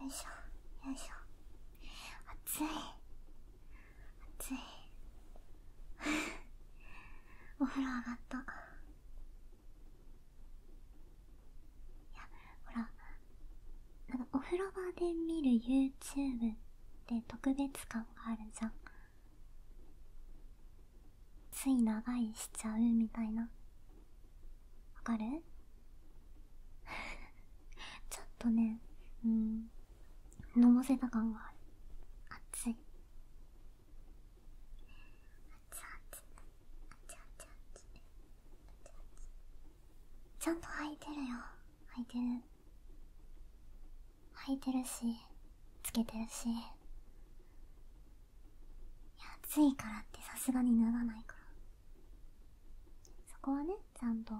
よいしょよいしょ暑い暑いお風呂上がったいやほらなんかお風呂場で見る YouTube って特別感があるじゃんつい長いしちゃうみたいなわかる ちょっとねうんのぼせた感がある熱い熱熱熱熱熱ちゃんと履いてるよ履いてる履いてるしつけてるし暑いからってさすがに脱がないからそこはねちゃんと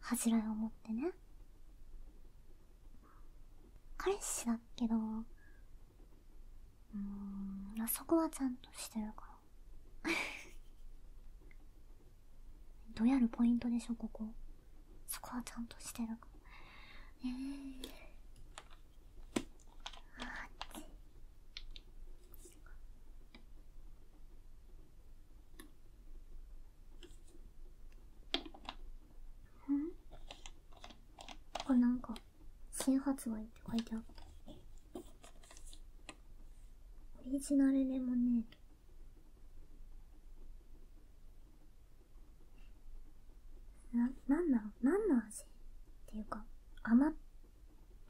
恥じらいを持ってね彼氏だけどうんあそこはちゃんとしてるから どうやるポイントでしょここそこはちゃんとしてるかえー、あっちんこれなんか新発売って書いてある。オリジナルレモネーななんだろう何の味っていうか甘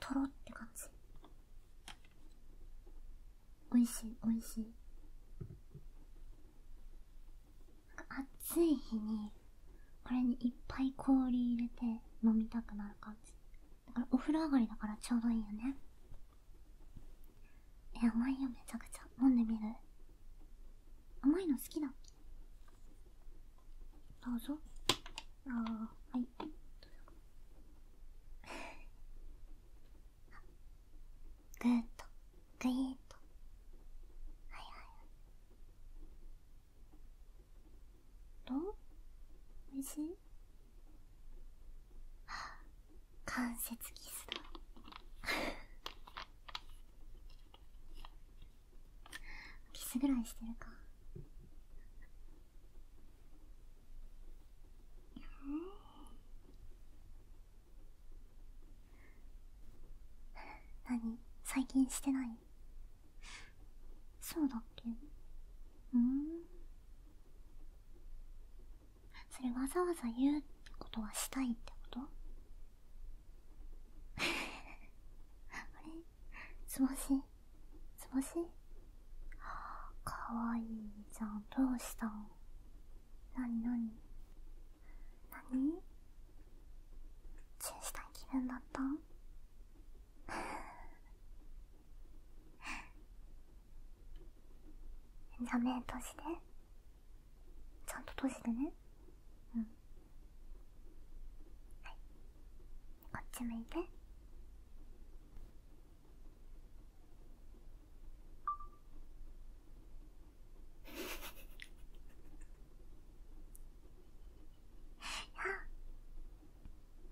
とろって感じおいしいおいしいなんか暑い日にこれにいっぱい氷入れて飲みたくなる感じだからお風呂上がりだからちょうどいいよねえ甘いよめちゃくちゃ飲んでみる甘いの好きだどうぞああはいどうぞぐーとグイーっとはいはいどうおいしい関節キスだ キスぐらいしてるか何最近してないそうだっけうんそれわざわざ言うことはしたいってこと あれつぼしつぼしかわいいじゃんどうしたんなになになにチューしたいるんだったん じゃあ目閉じてちゃんと閉じてねうんはいこっち向いて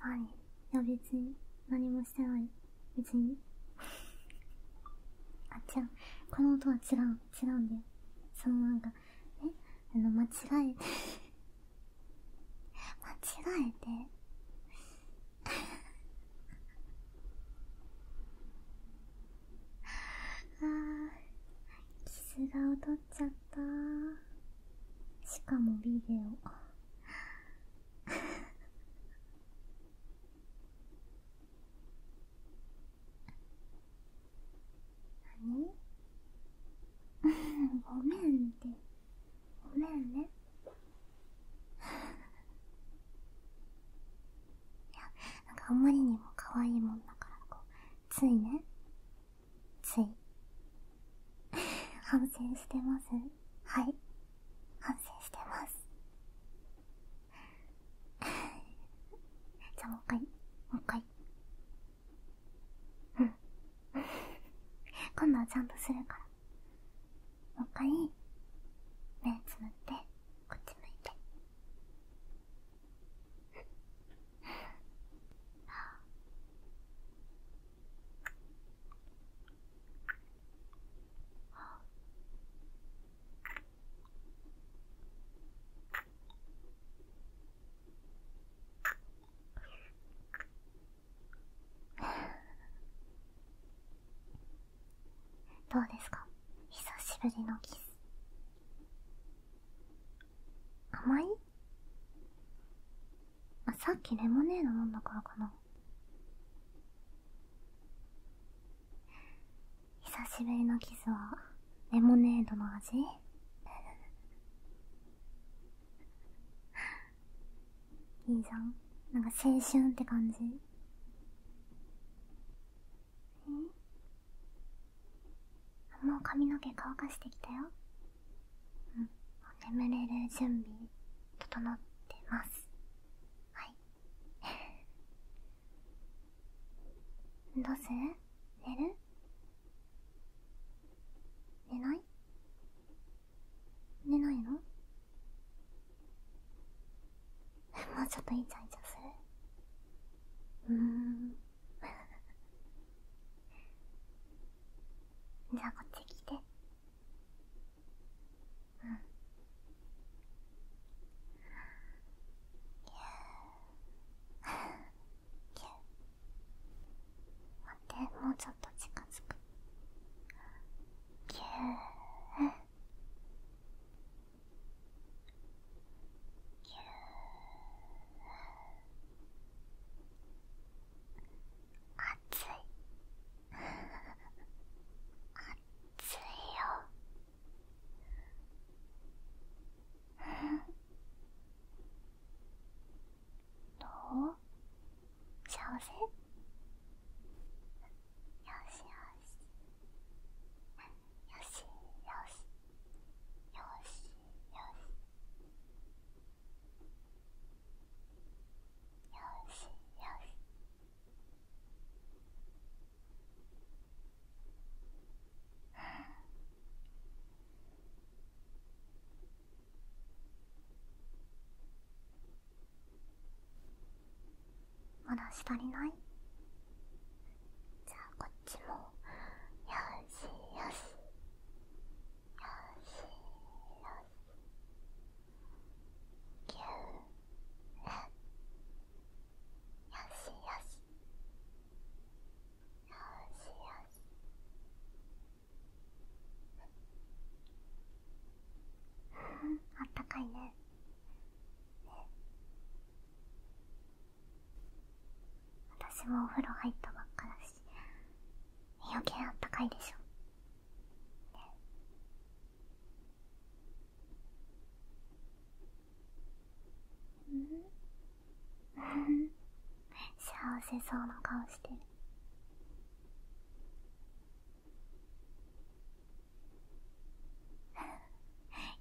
何いや別に何もをしたら別にあ違うこの音は違う違うんだよそのなんかえあの間違えて 間違えて あーキス顔取っちゃったしかもビデオ何ごめんってごめんねいやなんかあんまりにも可愛いもんだからこうついねつい反省してますはい反省してます じゃあもう一回もう一回うん 今度はちゃんとするからもう一回目つむってこっち向いてああ。どうですか久しぶりのキス甘いあさっきレモネード飲んだからかな久しぶりのキスはレモネードの味 いいじゃんなんか青春って感じえもう髪の毛乾かしてきたようん、眠れる準備整ってますはい どうする寝る寝ない寝ないの もうちょっとイチャイチャするうーんじゃあこっち来てうん待ってもうちょっと近づくぎゅーぎゅー暑い暑いよどう幸せよしよしよよしよしよしよしよしよしよしよしまだ足りないじゃあこちもよしよしよしよしぎゅうねよしよしよしよしあったかいねね私もお風呂入ったばっかだし余計あったかいでしょ、幸せそうな顔して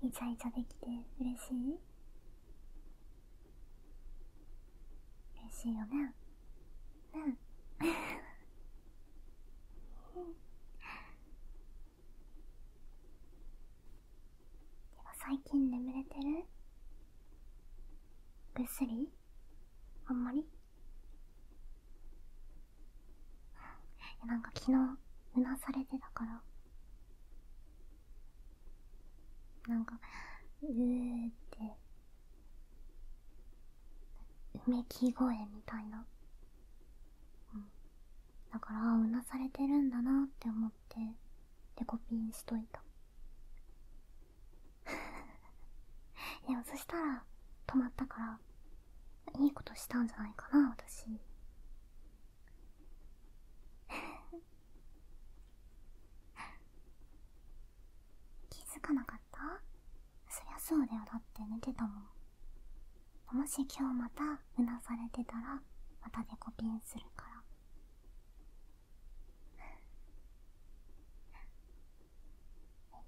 イチャイチャできて嬉しい嬉しいよねうんでは最近眠れてるぐっすりあんまりなんか昨日うなされてたからなんかうーってうめき声みたいな、うん、だからうなされてるんだなって思ってデコピンしといたいや、そしたら止まったからいいことしたんじゃないかな私気づかなかったそりゃそうだよだって寝てたもんもし今日またうなされてたらまたデコピンするから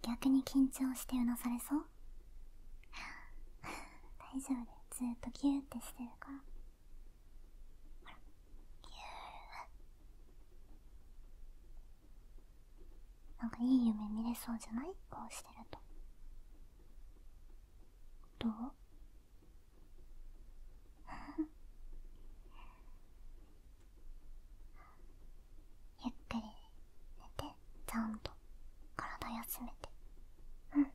逆に緊張してうなされそう大丈夫ずっとギューってしてるからほらギューなんかいい夢見れそうじゃないこうしてるとどう ゆっくり寝てちゃんと体休めてうん